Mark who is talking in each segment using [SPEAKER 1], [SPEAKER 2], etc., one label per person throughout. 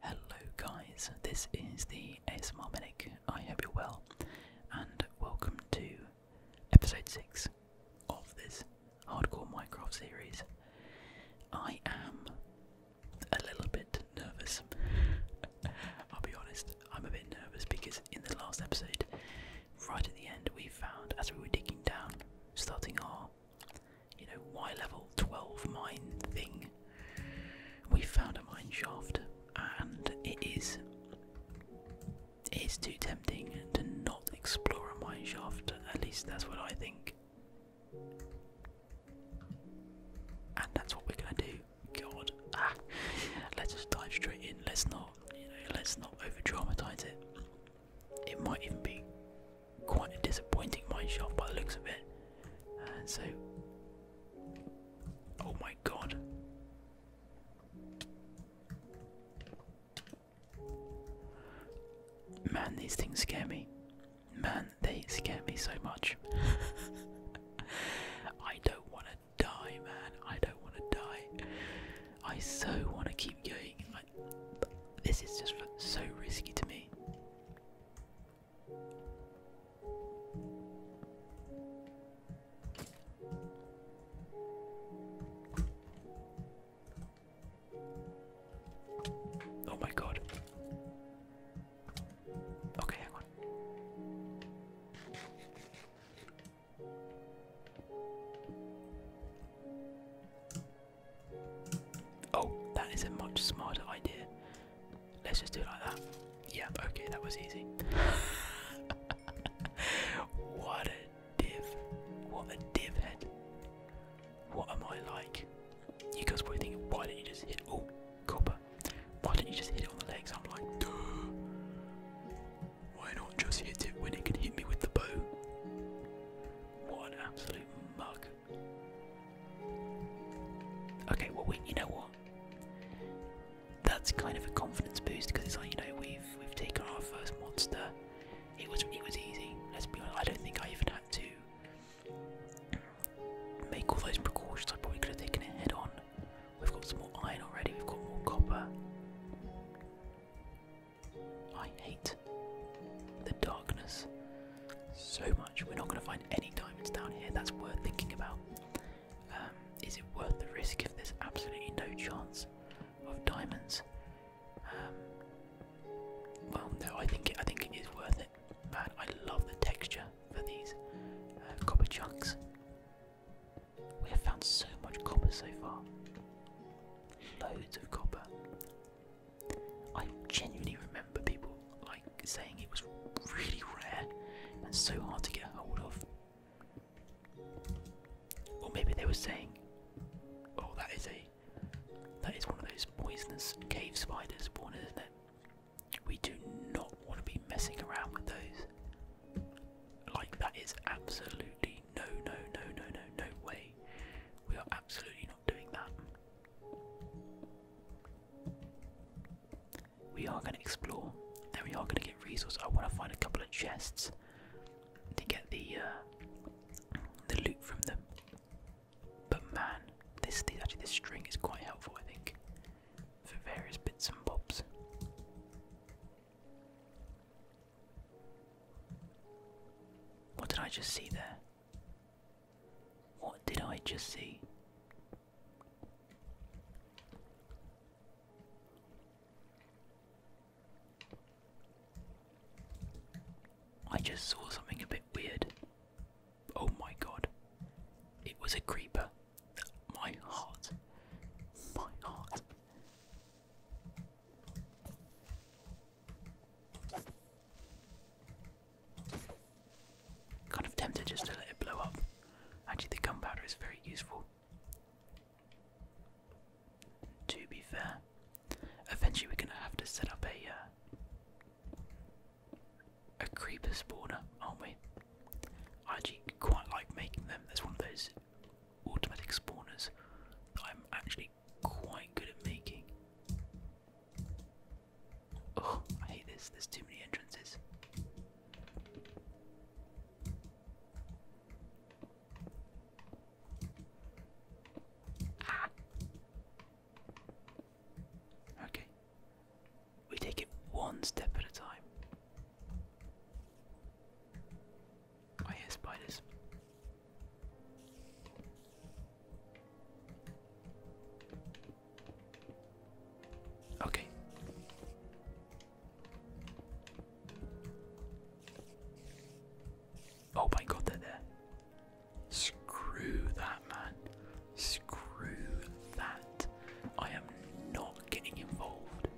[SPEAKER 1] Hello guys, this is the ASMR Medic. I hope you're well, and welcome to episode 6 of this hardcore Minecraft series. I am a little bit nervous. I'll be honest, I'm a bit nervous because in the last episode, right at the end, we found as we were digging down, starting our you know, Y level 12 mine thing, we found a mine shaft, and it is. It is too tempting to not explore a mine shaft, at least that's what I think. And that's what we're gonna do. God, ah. let's just dive straight in. Let's not, let's not over dramatize it. It might even be quite a disappointing mine shaft by the looks of it. And uh, so, oh my god. Man, these things scare me. Man, they scare me so much. I don't want to die, man. I don't want to die. I so want to keep going. I, this is just so risky to me. Oh my god. Okay, hang on. Oh, that is a much smarter idea. Let's just do it like that. Yeah, okay, that was easy. what a div. What a div head. What am I like? You guys were thinking, why didn't you just hit oh copper? Why didn't you just hit it on the legs? I'm like, duh. Why not just hit it when it can hit me with the bow? What absolute mug. Okay, well, we, you know what? That's kind of a confidence boost because it's like you know we've we've taken our first monster. It was it was easy. Let's be honest. I don't think I even had to make all those precautions. I probably could have taken it head on. We've got some more iron already. We've got more copper. I hate the darkness. So much. We're not going to find any diamonds down here. That's worth thinking about. Um, is it worth the risk if there's absolutely no chance of diamonds? Um, well, no. I think I think it is worth it. Man, I love the texture for these uh, copper chunks. We have found so much copper so far. Loads of copper. I genuinely remember people like saying it was really rare and so hard to get hold of. Or maybe they were saying, "Oh, that is a that is one of those poisonous cave spiders, born, isn't it? We do not want to be messing around with those. Like that is absolutely no, no, no, no, no, no way. We are absolutely not doing that. We are going to explore and we are going to get resources. I want to find a couple of chests to get the uh, the loot from them. But man, this actually this string is quite helpful, I think, for various bits and bobs. What did I just see there? What did I just see? I just saw something a bit weird. Oh my god. It was a creeper. My heart. My heart. Kind of tempted just to let it blow up. Actually, the gunpowder is very useful. To be fair, eventually we're gonna have to set up a uh, a creeper spawner, aren't we? I actually quite like making them. That's one of those automatic spawners that I'm actually quite good at making. Oh, I hate this. There's too many entrances. Ah. Okay. We take it one step at a time. I oh, hear spiders. Okay. Oh my god, there. Screw that, man. Screw that. I am not getting involved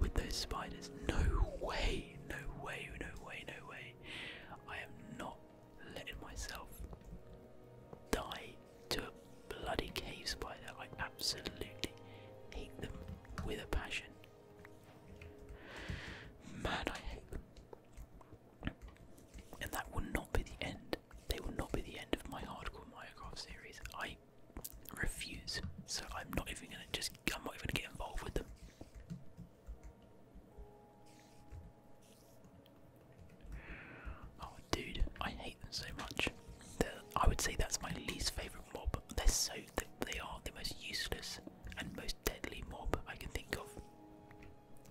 [SPEAKER 1] with those spiders. No way, no way, no way, no way. I am not letting myself die to a bloody cave spider. I absolutely hate them with a passion. Man, I hate them. And that will not be the end. They will not be the end of my hardcore Minecraft series. I refuse. So I'm not even gonna just I'm not even gonna get involved with them. Oh, dude, I hate them so much. they I would say that's my least favorite mob. They're so they are the most useless and most deadly mob I can think of.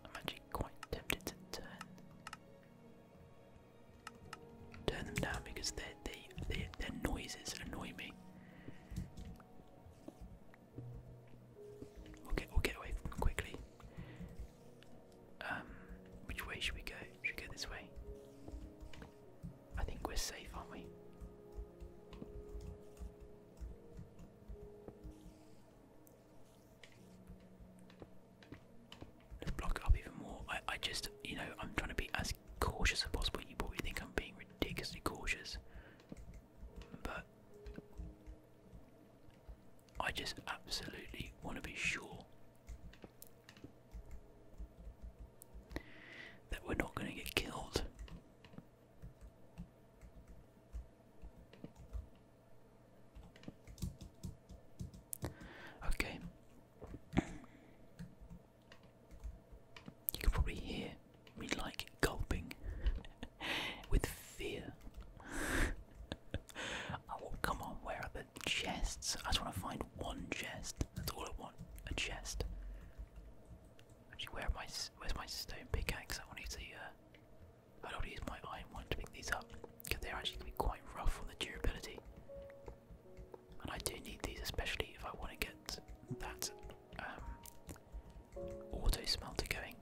[SPEAKER 1] I'm actually quite tempted to turn turn them down because they their noises annoy me. we we'll get away quickly. Um, which way should we go? Should we go this way? I think we're safe, aren't we? Let's block it up even more. I just, you know, I'm trying to be as cautious as possible. You probably think I'm being ridiculously cautious, but I just absolutely want to be sure that we're not going to get killed. Okay. you can probably hear me like gulping with fear. come on, where are the chests? I just want to find one chest. That's all I want, a chest. Actually, where my, where's my stone pickaxe? I want to use uh, I don't use my iron one to pick these up, because they're actually going to be quite rough on the durability. And I do need these, especially if I want to get that um, auto smelter going.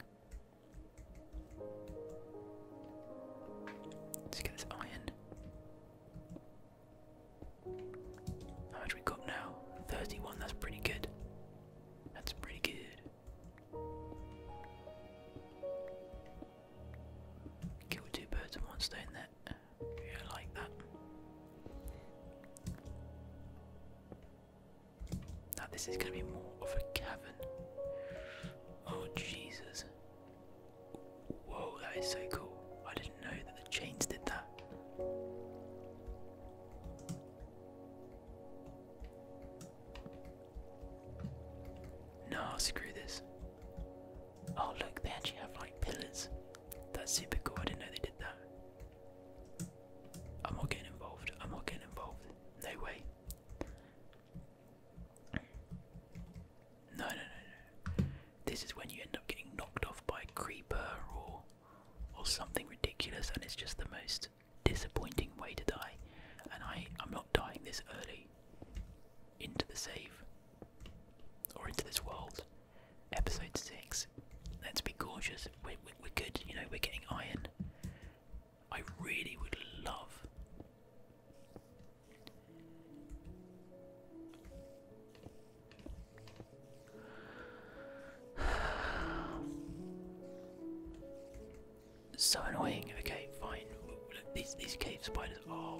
[SPEAKER 1] Let's get this iron. How much we got now? 31, that's pretty good. That's pretty good. Kill two birds with one stone there. Yeah, like that. Now this is gonna be more of a cavern. Oh Jesus. Whoa, that is so cool. I didn't know that the chains did that. Nah, screw this. Oh look, they actually have like pillars. That's super cool. I didn't know they did that. I'm not getting involved. I'm not getting involved. No way. No, no, no, no. This is when you end up getting knocked off by a creeper or or something ridiculous, and it's just the most disappointing way to die. And I, I'm not dying this early into the save or into this world. Episode six. Let's be cautious. we we're good. You know, we're getting iron. I really would love. so annoying. Okay, fine. these these cave spiders are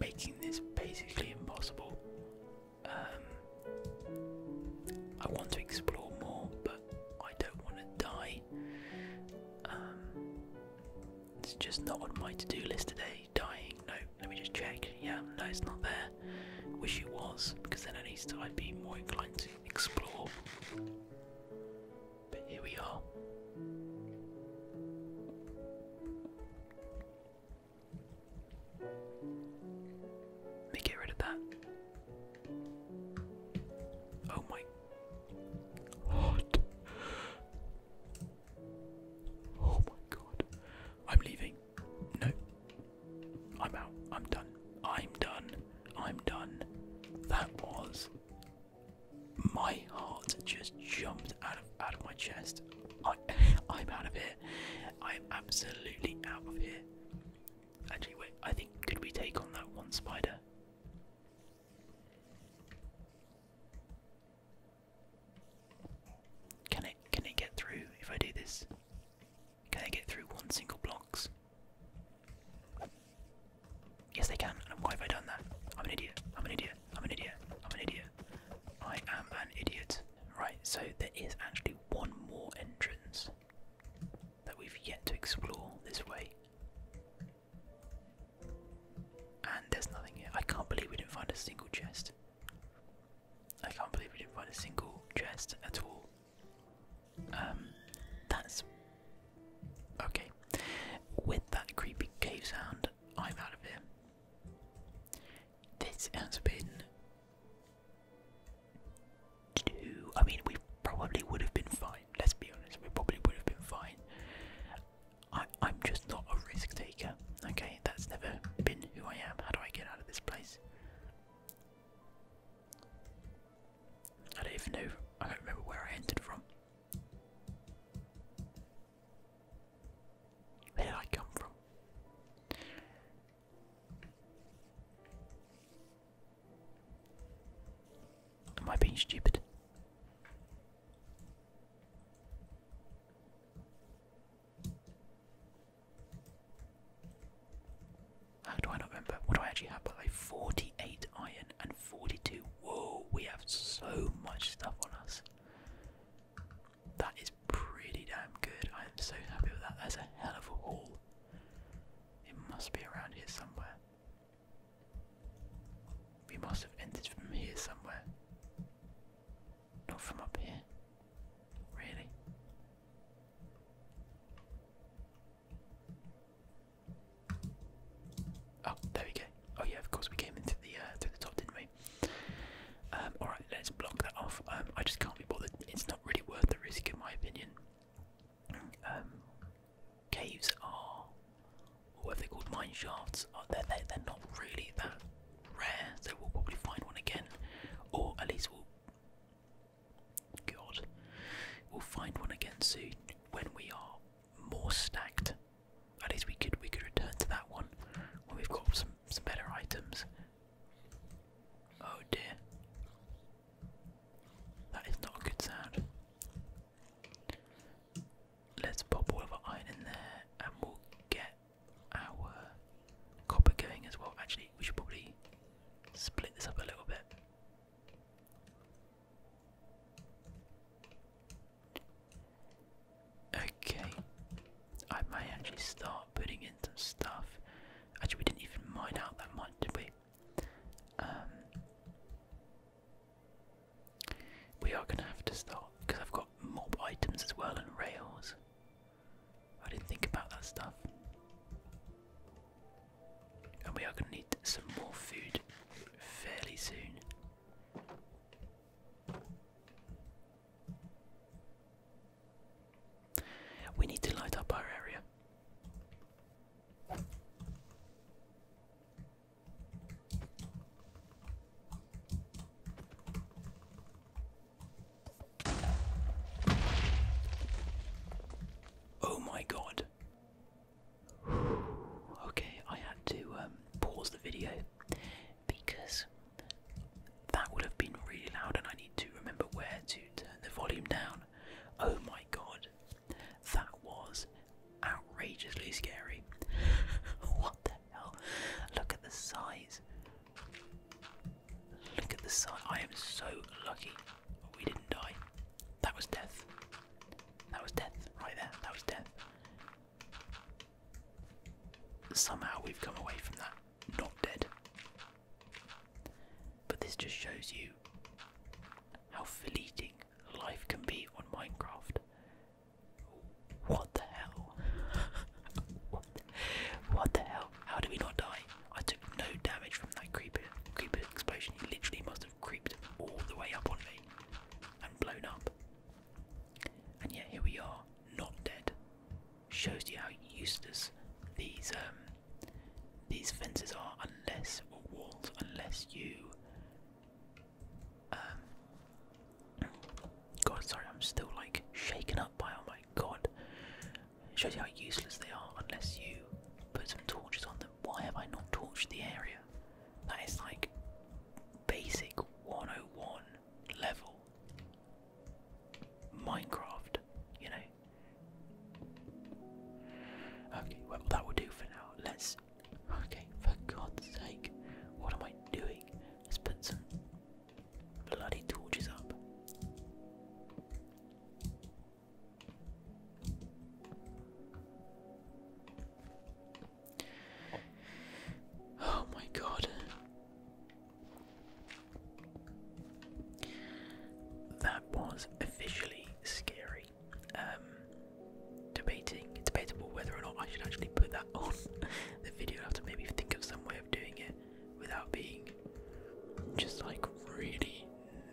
[SPEAKER 1] making this basically impossible. Um, I want to explore more, but I don't want to die. Um, it's just not on my to do list today. Dying? No, let me just check. Yeah, no, it's not there. Wish it was, because then at least I'd be more inclined to explore. But here we are. Let me get rid of that. Oh my Hot. Oh my god. I'm leaving. No. I'm out. I'm done. I'm done. I'm done. That was my heart just jumped out of out of my chest. I I'm out of here. I'm absolutely out of here. Actually wait, I think could we take on that one spider? Can it can it get through if I do this? Can they get through one single blocks? Yes they can, and why have I done that? I'm an idiot, I'm an idiot, I'm an idiot, I'm an idiot. I am an idiot. Right, so there is actually one more entrance that we've yet to explore this way. And there's nothing I can't believe we didn't find a single chest. I can't believe we didn't find a single chest at all. Um, that's okay. With that creepy cave sound, I'm out of here. This has been I mean, we probably would have been fine. Let's be honest, we probably would have been fine. I'm just not a risk taker. Okay, that's never been who I am. How do I get out of this place? I don't even know. I don't remember where I entered from. Where did I come from? Am I being stupid? How do I not remember? What do I actually have? But like 48 iron and 42. Whoa, we have so much stuff on us. That is pretty damn good. I am so happy with that. That's a hell of a haul. It must be around here somewhere. We must have entered from here somewhere. Not from up here. Really? Oh, there we go. Oh yeah, of course we came into the uh, through the top, didn't we? Um, all right, let's block that off. Um, I just can't be bothered. It's not really worth the risk, in my opinion. Um, caves are, or what they're called, mine shafts. they're, they're, not really that rare, so we'll probably find one again, or at least we'll. God, we'll find one again soon when we are more stacked. At least we could we could return to that one when we've got some some better items. Oh dear. That is not a good sound. Let's pop all of iron in there and we'll get our copper going as well. Actually, we should probably split this up a little bit. Okay, I may actually start putting in some stuff. Actually, we didn't even mine out that much, did we? Um, we are going to have to stop because I've got mob items as well and rails. I didn't think about that stuff. And we are going to need some more food fairly soon. We need to light up our area. Oh my god. Okay, I had to um, pause the video because that would have been really loud, and I need to remember where to turn the volume down. Oh my god. That was outrageously scary. what the hell? Look at the size. Look at the size. I am so lucky we didn't die. That was death. That was death right there. That was death. Somehow we've come away from that not dead. But this just shows you how fleeting life can be on Minecraft. What the hell? what, the, hell? How did we not die? I took no damage from that creeper creeper explosion. He literally must have creeped all the way up on me and blown up. And yet here we are, not dead. Shows you how useless these um, these fences are unless or walls unless you um, God sorry I'm still like shaken up by oh my god. shows you how useless they are unless you put some torches on them. Why have I not torched the area? That is like basic 101 level Minecraft, you know. Okay, well that will do for now. Let's okay, for God's sake, what am I doing? Let's put some bloody torches up. Oh my god. That was officially scary um, debating. It's debatable whether or not I should actually put that on the video. I have to maybe think of some way of doing it without being just like really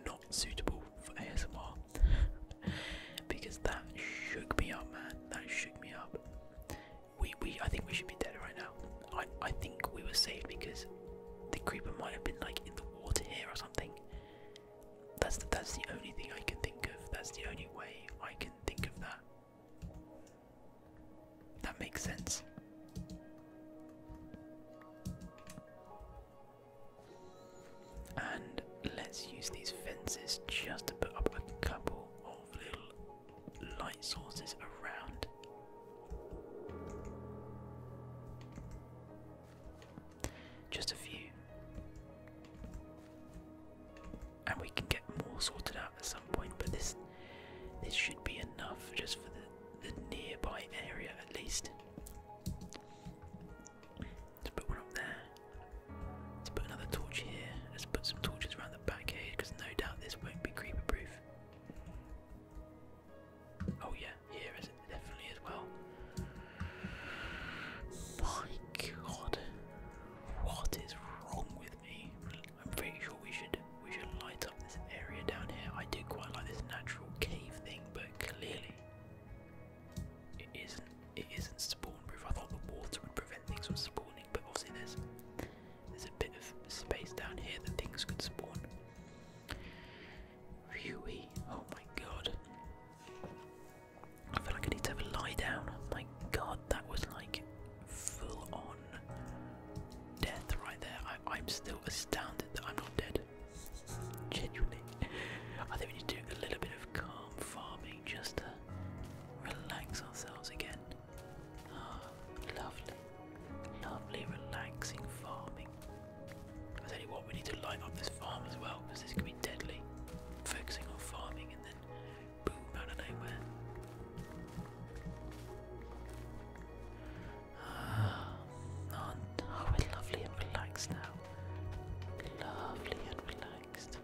[SPEAKER 1] not suitable for ASMR because that shook me up, man. That shook me up. We, we, I think we should be dead right now. I, I think we were saved because the creeper might have been like in the water here or something. That's the, that's the only thing I can think of. That's the only way I can think of that. That makes sense. And let's use these fences just to put up a couple of little light sources around just a few. And we can get more sorted out at some point, but this this should be enough just for the, the nearby area at least. Let's put one up there. Let's put another torch here. Let's put some torches around the back here because no doubt this won't be creeper proof. Oh yeah, here is definitely as well. My God, what is wrong with me? I'm pretty sure we should we should light up this area down here. I do quite like this natural cave thing, but clearly it isn't it isn't spawn I thought the water would prevent things from spawning, but obviously there's there's a bit of space down here that things could spawn. Phew! Oh my god. I feel like I need to lie down. Oh my god, that was like full on death right there. I, am still astounded that I'm not dead. Genuinely. I think we need to do a little bit of calm farming just to relax ourselves again. Ah, lovely. Lovely, relaxing farming. I tell we need to light up this farm as well because this can be deadly. Focusing on farming and then boom out of nowhere. Ah, oh, we're lovely and relaxed now. Lovely and relaxed.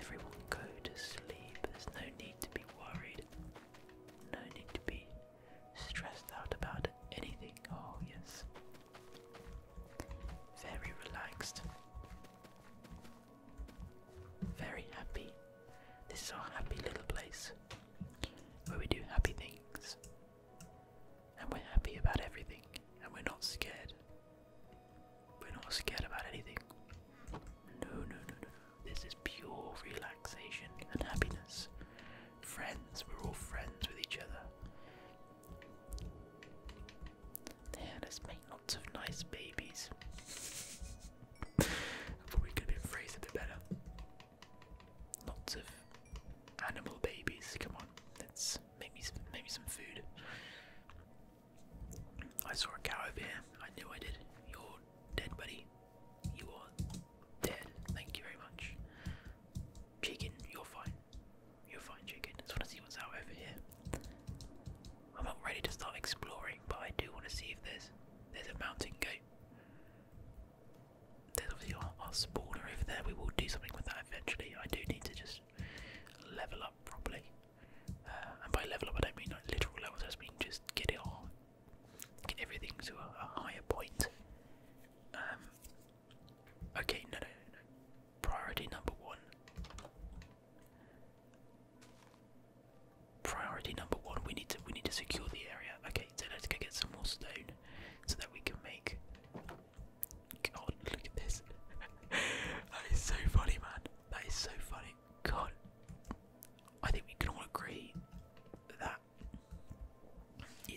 [SPEAKER 1] Everyone go to sleep. There's no need to be worried. No need to be stressed out about anything. Oh, yes very relaxed, very happy. This is our happy little place where we do happy things and we're happy about everything and we're not scared. We're not scared about anything. No, no, no, no. This is pure relaxation and happiness. Friends, we're all friends with each other. There, let's make lots of nice babies. Probably could have been a bit better. Lots of animal babies. Come on, let's make me some, make me some food. I saw a cow over here. I knew I did. You're dead, buddy. You are dead. Thank you very much. Chicken, you're fine. You're fine, chicken. I just want to see what's out over here. I'm not ready to start exploring, but I do want to see if there's there's a mountain goat. There's obviously our, our spawner over there. We will do something with that eventually. I do need to just level up properly. Uh, and by level up, I don't mean like literal levels. I just mean just get it all, get everything to a, a higher point. Um, Okay, no, no, no. Priority number one. Priority number one. We need to we need to secure the area. Okay, so let's go get some more stone, so that we can make. God, look at this. that is so funny, man. That is so funny. God, I think we can all agree that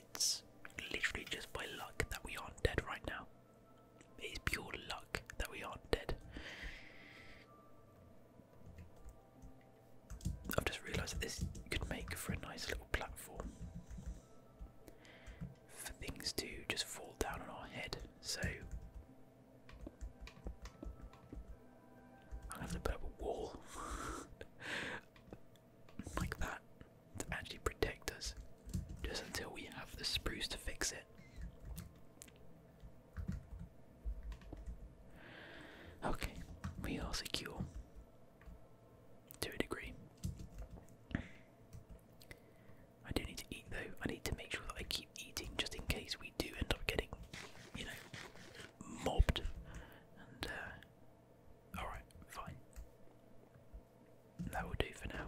[SPEAKER 1] it's literally just by luck that we aren't dead right now. It is pure luck that we aren't dead. I've just realised that this could make for a nice little platform for things to just fall down on our head. So I'm gonna put up a wall. like that to actually protect us just until we have the spruce to fix it. Okay, we are secure to a degree. I do need to eat though. I need to make sure that I keep eating just in case we do end up getting, you know, mobbed. And, uh, alright, fine. That will do for now.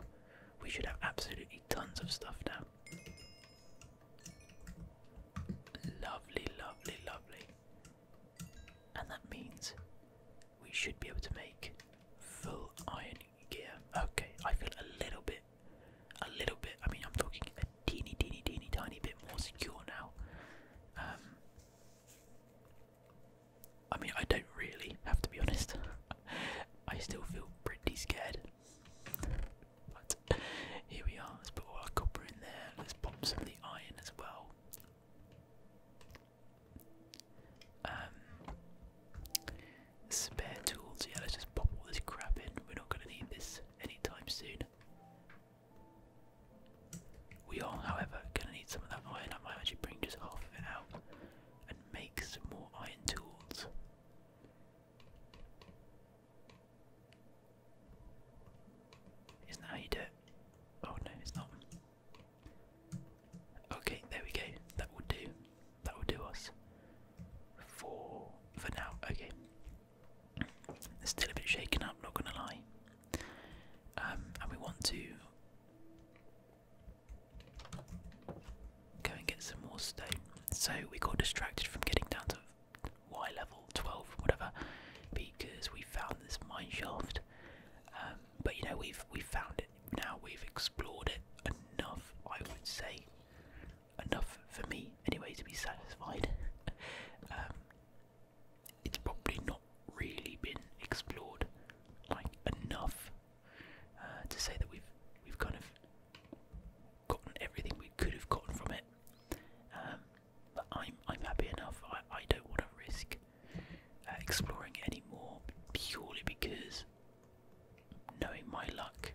[SPEAKER 1] We should have absolutely tons of stuff now. Lovely, lovely, lovely. And that means we should be able to make full iron gear. Okay, I feel a little bit, a little bit, I mean, I'm talking a teeny, teeny, teeny, tiny bit more secure now. Um, I mean, I don't really have to be honest. I still feel pretty scared. But here we are. Let's put our copper in there. Let's pop some of the iron as well. Um, spare tools. Yeah, let's just pop all this crap in. We're not going to need this anytime soon. We are, however, gonna need some of that iron. I might actually bring just half of it out and make some more iron tools. Isn't that how you do it? Oh no, it's not. Okay, there we go. That will do. That will do us for for now. Okay. still a bit shaken up, not gonna lie. Um, and we want to Go and get some more stone. So we got distracted from getting down to Y level 12, whatever, because we found this mine shaft. Um, but you know we've we found it now. We've explored it enough, I would say, enough for me anyway to be satisfied. Um, it's probably not really been explored like enough uh, to say that we've we've kind of gotten everything we could have gotten from it. Um, but I'm I'm happy enough. I, I don't want to risk uh, exploring it anymore purely because knowing my luck,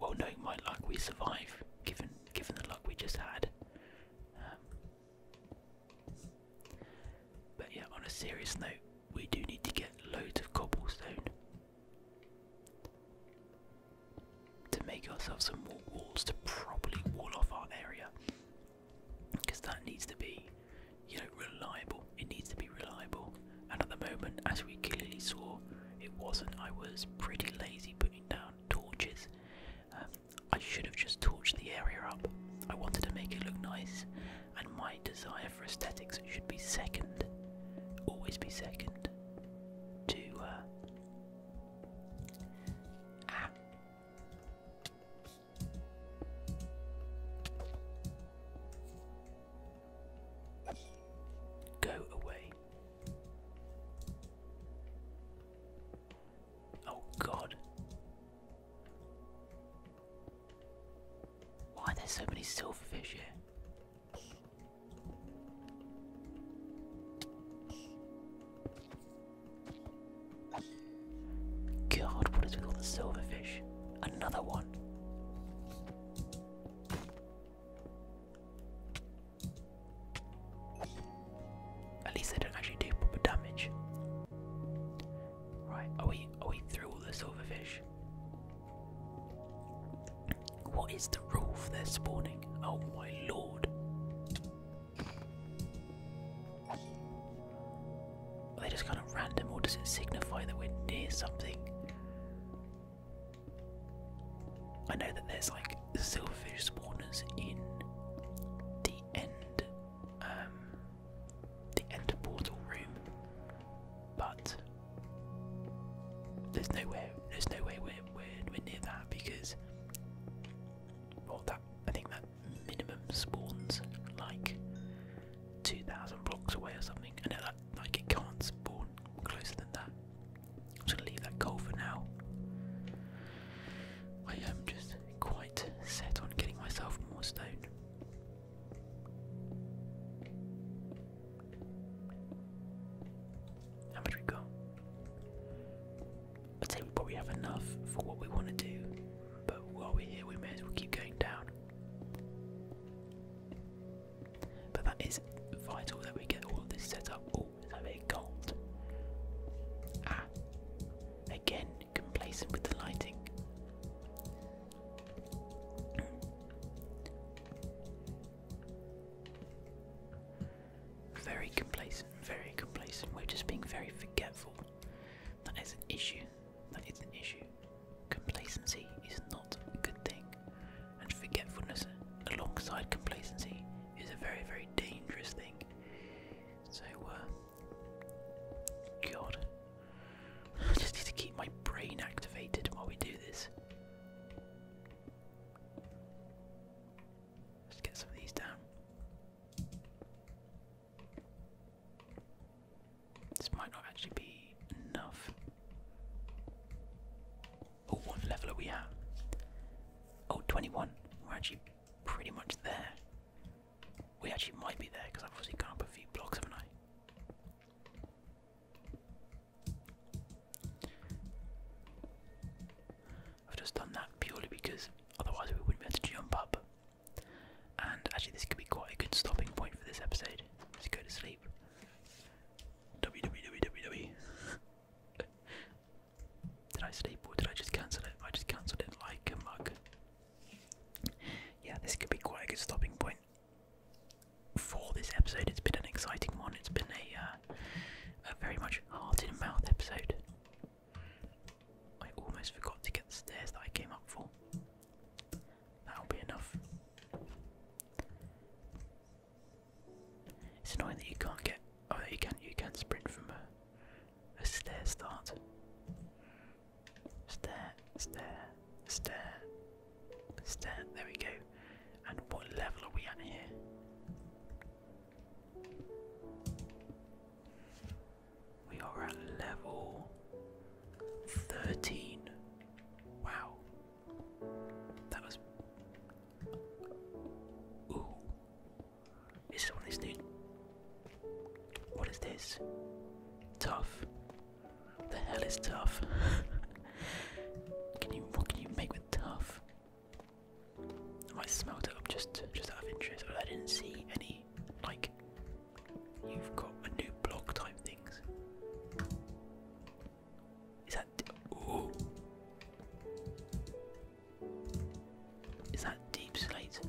[SPEAKER 1] well knowing my luck, we survive given given the luck we just had. Um, but yeah, on a serious note, we do need to get loads of cobblestone to make ourselves some more walls to properly wall off our area because that needs to be, you know, reliable. It needs to be reliable, and at the moment, as we clearly saw, it wasn't. I was pretty lazy putting down torches. Um, I should have just torched the area up. I wanted to make it look nice, and my desire for aesthetics should be second, always be second, to uh, Go away. Oh, God. Why are there so many silverfish here? God, what is with all the silverfish? Another one. At least they don't actually do proper damage. Right, are we are we through all the silverfish? What is the rule for their spawning? Oh my lord. Are they just kind of random or does it signify that we're near something? I know that there's like silverfish spawners in the end um, the end portal room, but there's nowhere, there's no way we're, we're, near that because well that I think that minimum spawns like 2,000 blocks away or something and that, like it can't spawn closer than that. I'm gonna leave that coal for now. I am just quite set on getting myself more stone. How much we got? I think we probably have enough for what we want to do, but while we're here, we may as well keep going down. But that is vital that we get all of this set up. Oh, is that a gold? Ah, Again, complacent with the lighting. Very complacent, very complacent. We're just being very forgetful. That is an issue. That is an issue. Complacency is not a good thing, and forgetfulness alongside complacency is a very, very dangerous thing. So, uh, God. I just need to keep my brain activated while we do this. Let's get some of these down. This might not actually be enough. Oh, what level are we at? Oh, 21. We're actually pretty much there. We actually might be there because I've obviously gone up a few blocks, haven't I? I've just done that purely because otherwise we wouldn't be able to jump up. And actually, this could be quite a good stopping point for this episode. Let's go to sleep. www. did I sleep or did I just cancel it? I just cancelled it like a mug yeah, this could be quite a good stopping point for this episode. It's been an exciting one. It's been a, uh, a very much heart in mouth episode. I almost forgot to get the stairs that I came up for. That'll be enough. It's annoying that you can't get. Oh, you can. You can sprint from uh, a stair start. Stair, stair, stair, stair. There we go. And what level are we at here? We are at level 13. Wow. That was. Ooh. Is this one of these new what is this? Tough. The hell is tough? can you what can you make with tough? I might smelt it up just just out of interest, but I didn't see any like you've got a new block type things. Is that Is that deep slate?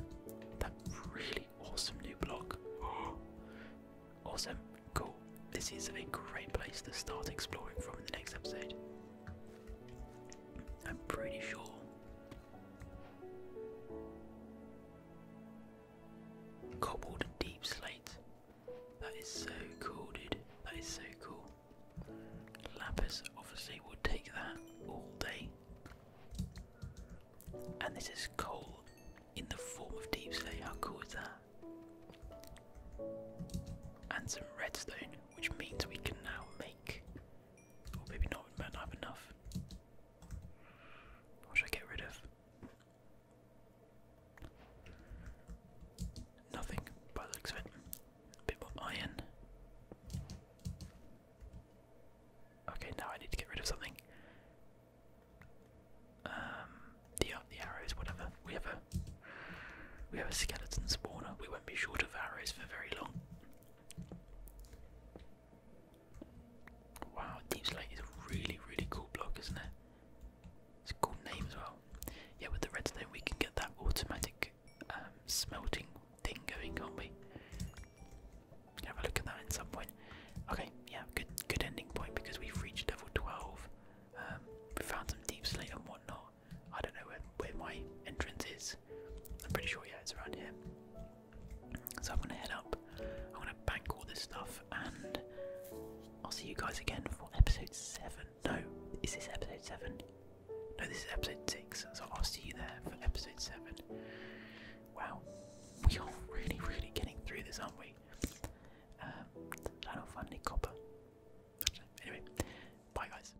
[SPEAKER 1] That really awesome new block. awesome, cool. This is a great place to start exploring from in the next episode. I'm pretty sure. Cobbled deep slate. That is so cool, dude. That is so cool. Lapis obviously will take that all day and this is coal in the form of deep How cool is that? And some redstone, which means we can now make. Or maybe not, we might not have enough. What should I get rid of? Nothing, by the looks of it. A bit more iron. Okay, now I need to get rid of something. Um, the uh, the arrows, whatever. We have a we have a skeleton spawner. We won't be short of arrows for very long. Wow, Deep Slate is a really really cool block, isn't it? It's a cool name as well. Yeah, with the redstone we can get that automatic um, smelting thing going, can't have a look at that at some point. Okay, yeah, good good ending point because we've reached level 12. Um, we found some deep slate and whatnot. I don't know where my entrance is. I'm pretty sure, yeah, it's around here. So I'm going to head up, I'm going to bank all this stuff, and I'll see you guys again for episode 7. No, is this episode 7? No, this is episode 6, so I'll see you there for episode 7. Wow, we are really, really getting through this, aren't we? Um, I copper. Anyway, bye guys.